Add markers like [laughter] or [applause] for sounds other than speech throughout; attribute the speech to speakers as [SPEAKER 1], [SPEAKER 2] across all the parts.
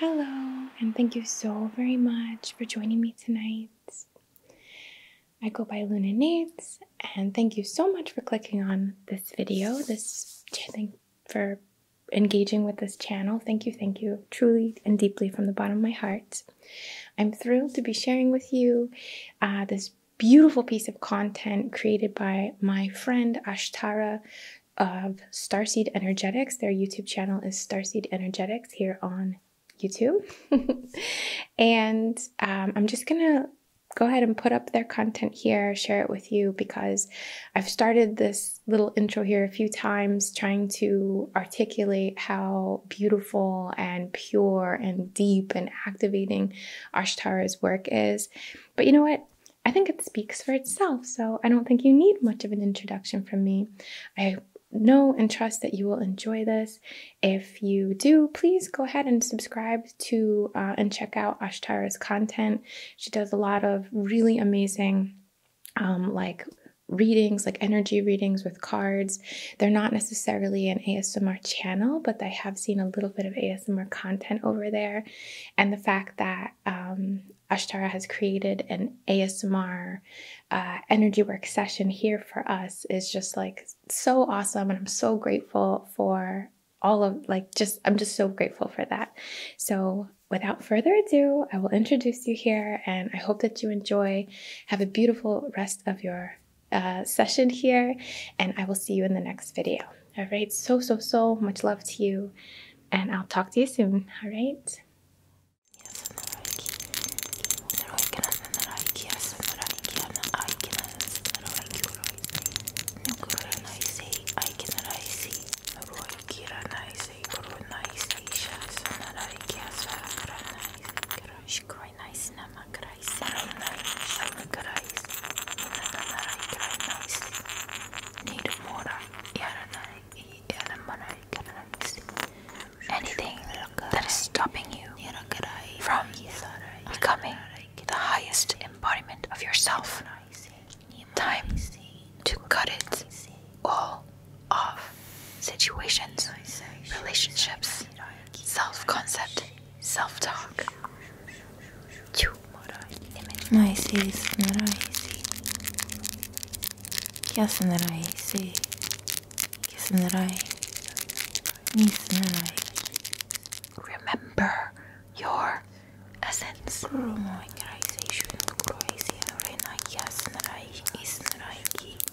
[SPEAKER 1] Hello, and thank you so very much for joining me tonight. I go by Luna Nates, and thank you so much for clicking on this video, this for engaging with this channel. Thank you, thank you, truly and deeply from the bottom of my heart. I'm thrilled to be sharing with you uh, this beautiful piece of content created by my friend Ashtara of Starseed Energetics. Their YouTube channel is Starseed Energetics here on YouTube. [laughs] and um, I'm just going to go ahead and put up their content here, share it with you because I've started this little intro here a few times trying to articulate how beautiful and pure and deep and activating Ashtara's work is. But you know what? I think it speaks for itself, so I don't think you need much of an introduction from me. I know and trust that you will enjoy this. If you do, please go ahead and subscribe to uh, and check out Ashtara's content. She does a lot of really amazing, um, like readings, like energy readings with cards, they're not necessarily an ASMR channel, but I have seen a little bit of ASMR content over there. And the fact that um, Ashtara has created an ASMR uh, energy work session here for us is just like so awesome. And I'm so grateful for all of like just I'm just so grateful for that. So without further ado, I will introduce you here and I hope that you enjoy. Have a beautiful rest of your uh, session here, and I will see you in the next video. All right, so, so, so much love to you, and I'll talk to you soon. All right.
[SPEAKER 2] Ой, nice naman guys. Nice naman guys. Nagaray guys. Nice. Need more. Yaranay. Yaramanay guys. Anything that is stopping you from becoming the highest embodiment of yourself. Time to cut it all off. Situations, relationships, self concept, self talk.
[SPEAKER 3] Noises, noise. Kiss noise. Kiss noise. Remember your essence. Crazy, crazy, crazy, crazy, crazy, crazy, crazy, crazy,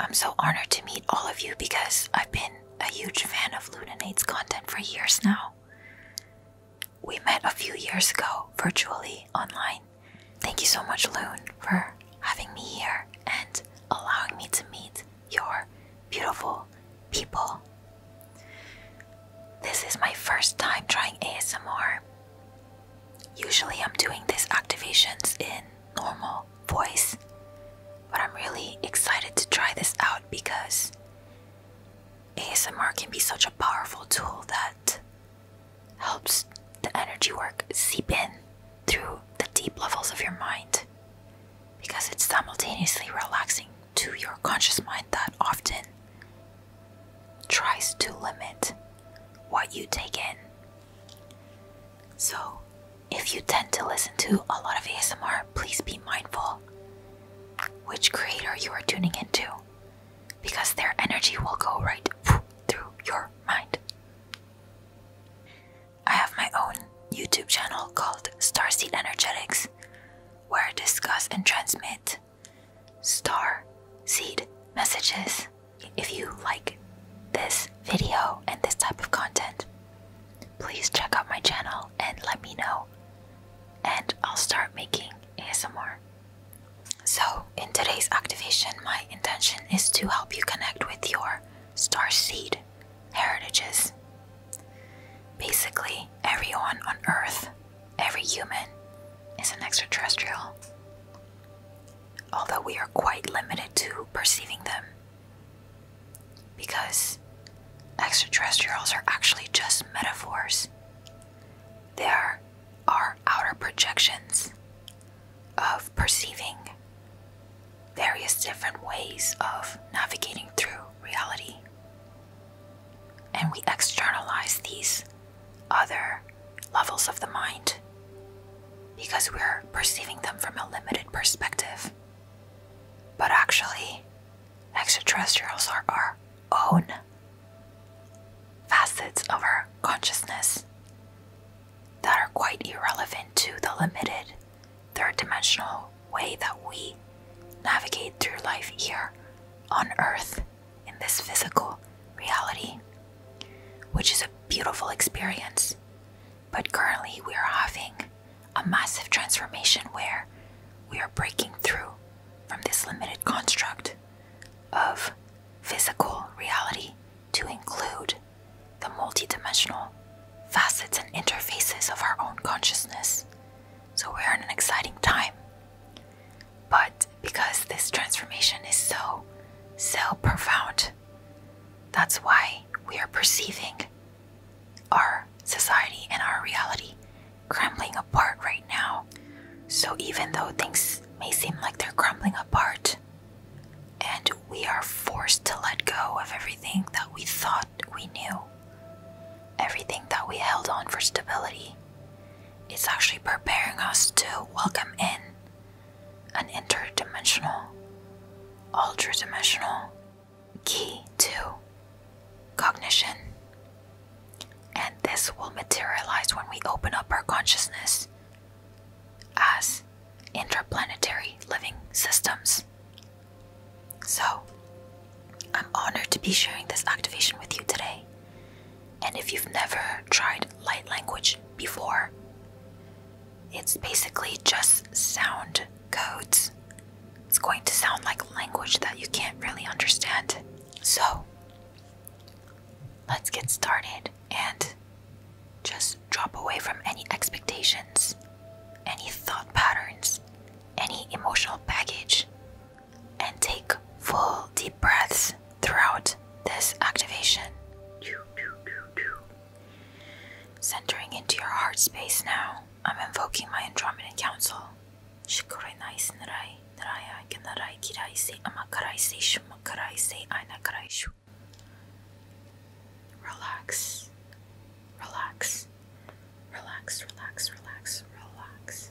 [SPEAKER 2] I'm so honored to meet all of you because I've been a huge fan of Luninate's content for years now. We met a few years ago virtually online. Thank you so much, Loon, for having me here and allowing me to meet your beautiful people. This is my first time trying ASMR. Usually, I'm doing these activations in normal voice, but I'm really excited to try this out because ASMR can be such a powerful tool that helps the energy work seep in through the deep levels of your mind because it's simultaneously relaxing to your conscious mind that often tries to limit what you take in so, if you tend to listen to a lot of ASMR, please be mindful which creator you are tuning into because their energy will go right through your mind. I have my own YouTube channel called Star Seed Energetics where I discuss and transmit star seed messages if you like this video and this type of content, please check out my channel and let me know, and I'll start making ASMR. So, in today's activation, my intention is to help you connect with your star seed heritages. Basically, everyone on Earth, every human, is an extraterrestrial although we are quite limited to perceiving them. Because extraterrestrials are actually just metaphors, they are our outer projections of perceiving various different ways of navigating through reality. And we externalize these other levels of the mind because we're perceiving them from a limited perspective. But actually, extraterrestrials are our own facets of our consciousness that are quite irrelevant to the limited third dimensional way that we navigate through life here on Earth in this physical reality, which is a beautiful experience. But currently, we are having a massive transformation where we are breaking through from this limited construct of physical reality to include the multidimensional facets and interfaces of our own consciousness. So, we're in an exciting time. But because this transformation is so, so profound. That's why we are perceiving our society and our reality crumbling apart right now. So, even though things may seem like they're crumbling apart, and we are forced to let go of everything that we thought we knew, everything that we held on for stability, it's actually preparing us to welcome in an interdimensional, ultra-dimensional key to cognition. And this will materialize when we open up our consciousness as interplanetary living systems. So, I'm honored to be sharing this activation with you today. And if you've never tried light language before, it's basically just sound codes. It's going to sound like language that you can't really understand. So, let's get started and just drop away from any expectations, any thought patterns, any emotional baggage, and take full deep breaths throughout this activation. Centering into your heart space now, I'm invoking my Andromedan Council. Relax, relax, relax, relax, relax, relax.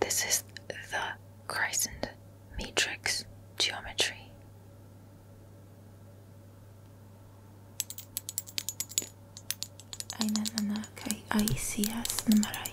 [SPEAKER 2] This is the crescent matrix geometry.
[SPEAKER 3] أينما كي أي سياس نمري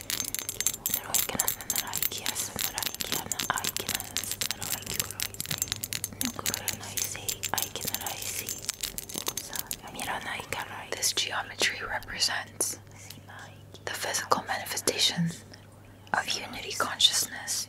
[SPEAKER 2] this geometry represents the physical manifestations of unity consciousness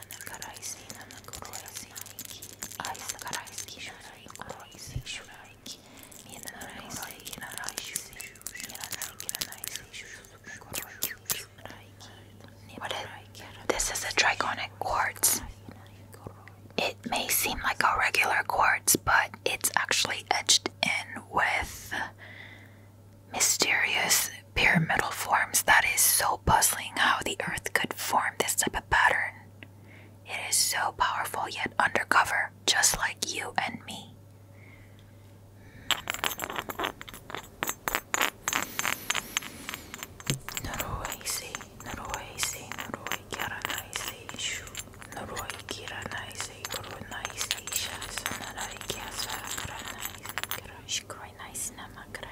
[SPEAKER 2] what is, this is a trigonic quartz. It may seem like a regular quartz, but it's actually etched in with mysterious pyramidal forms. That is so puzzling how the earth could form this type of pattern. It is so powerful yet undercover, just like you and me.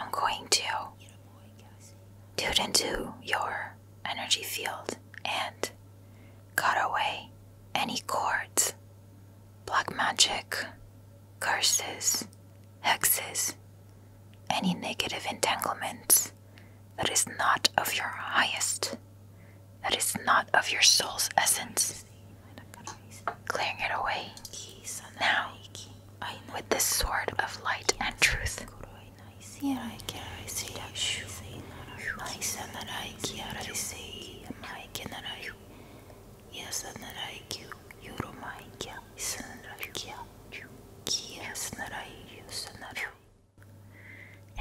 [SPEAKER 2] I'm going to tune into your energy field and cut away any cords, black magic, curses, hexes, any negative entanglements that is not of your highest, that is not of your soul's essence, clearing it away now with the sword of light and truth.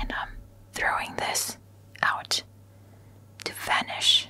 [SPEAKER 2] And I'm throwing this out to vanish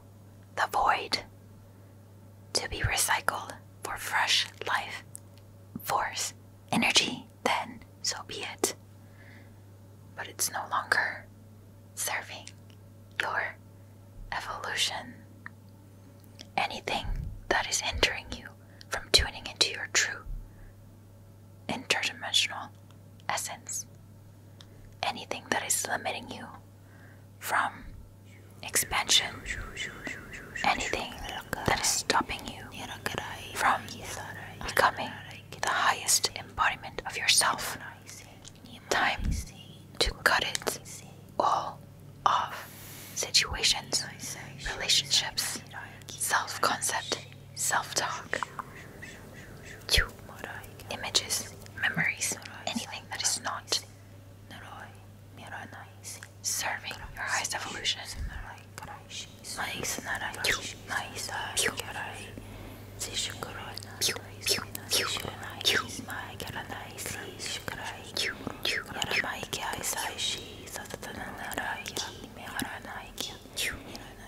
[SPEAKER 2] the void, to be recycled for fresh life, force, energy, then so be it. But it's no longer serving your evolution. Anything that is hindering you from tuning into your true interdimensional essence, anything that is limiting you from expansion, anything that is stopping you from becoming the highest embodiment of yourself. Time to cut it all off. Situations, relationships, self concept, self talk, two images, memories, anything that is not serving your highest evolution.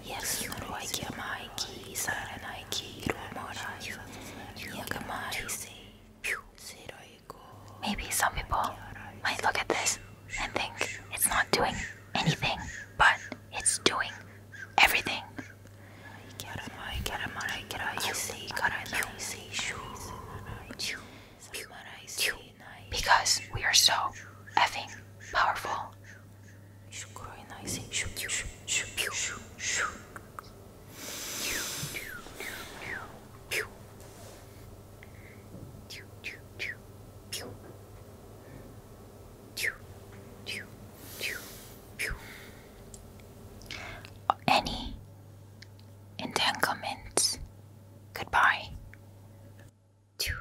[SPEAKER 2] Yasunroi Kiamai Ki Saranai Ki Rumorai Yagamai Se Maybe some people might look at this and think it's not doing anything, but it's doing everything. Because we are so effing powerful growing nice and shoo, shoo, shoo, shoo, shoo, shoo. Any entanglements? Goodbye. Two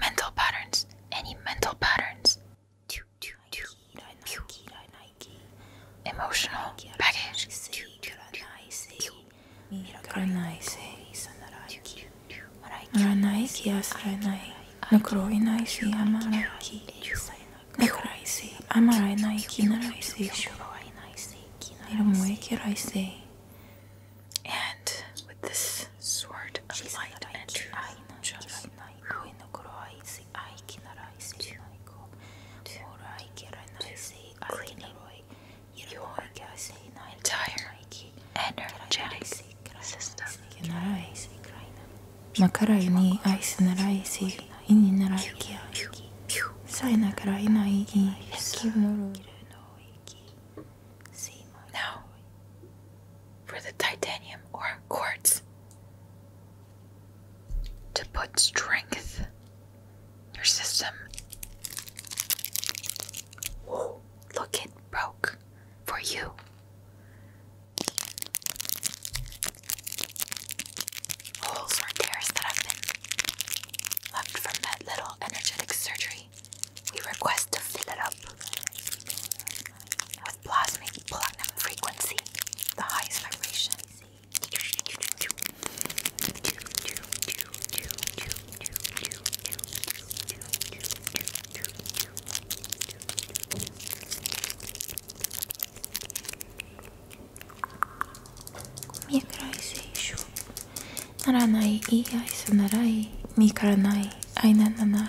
[SPEAKER 2] mental patterns. Any mental patterns? Emotional
[SPEAKER 3] baggage. Ranai kias ranai. Nakroi naisi amaraki. Nakraisi amarai naiki naraisi. Niramui kiraisi. And with this sword of
[SPEAKER 2] light and truth, just cleaning your
[SPEAKER 3] entire energetic system. Makarai ni ai sanarai si ini narai ki ai. Sai nakarai nai i ki noru.
[SPEAKER 2] Now, for the titanium or quartz. To put strength your system. look, it broke for you. Holes or tears that have been left from that little energetic surgery, we request to fill it up with plasmic platinum frequency, the highest vibration.
[SPEAKER 3] Mie krai se shu. Naranai, i ai mi karanai, ai nanai,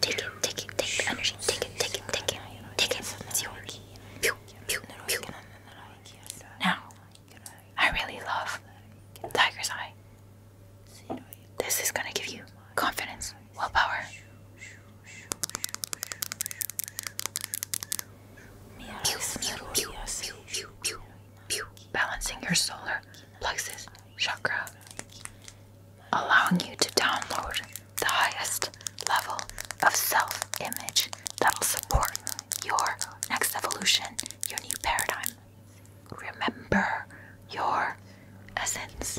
[SPEAKER 2] Take it, take it, take the energy, take it, take it, take it, take it. It's yours. Pew, pew, pew. Now, I really love Tiger's Eye. This is gonna give you confidence, willpower. Pew, pew, pew, pew, pew, pew. Balancing your solar plexus chakra allowing you to download the highest level of self image that will support your next evolution, your new paradigm. Remember your essence.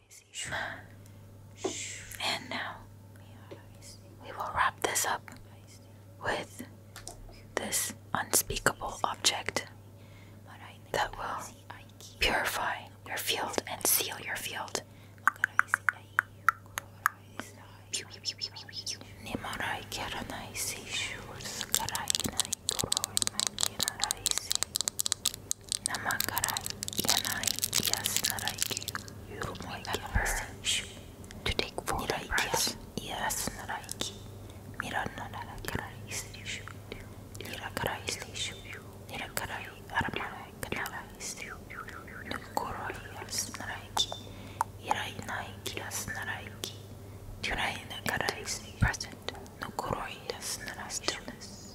[SPEAKER 2] And now we will wrap this up with this unspeakable object that will purify your field and seal your field. 生から嫌ない癒すなら生きるゆるもいけば選手 To take for a breath 癒すなら生きミラならからいすでしゅニラからいすでしゅニラからいあらまないからいすでぬころ癒すなら生きいらいない癒すなら生き Tonight in the present, no corroy, yes, and stillness.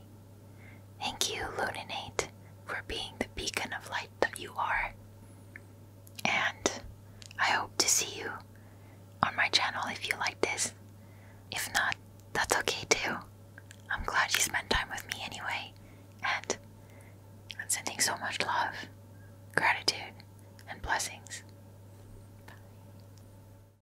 [SPEAKER 2] Thank you, Luninate, for being the beacon of light that you are. And I hope to see you on my channel if you like this. If not, that's okay too. I'm glad you spent time with me anyway. And I'm sending so much love, gratitude, and blessings. Bye.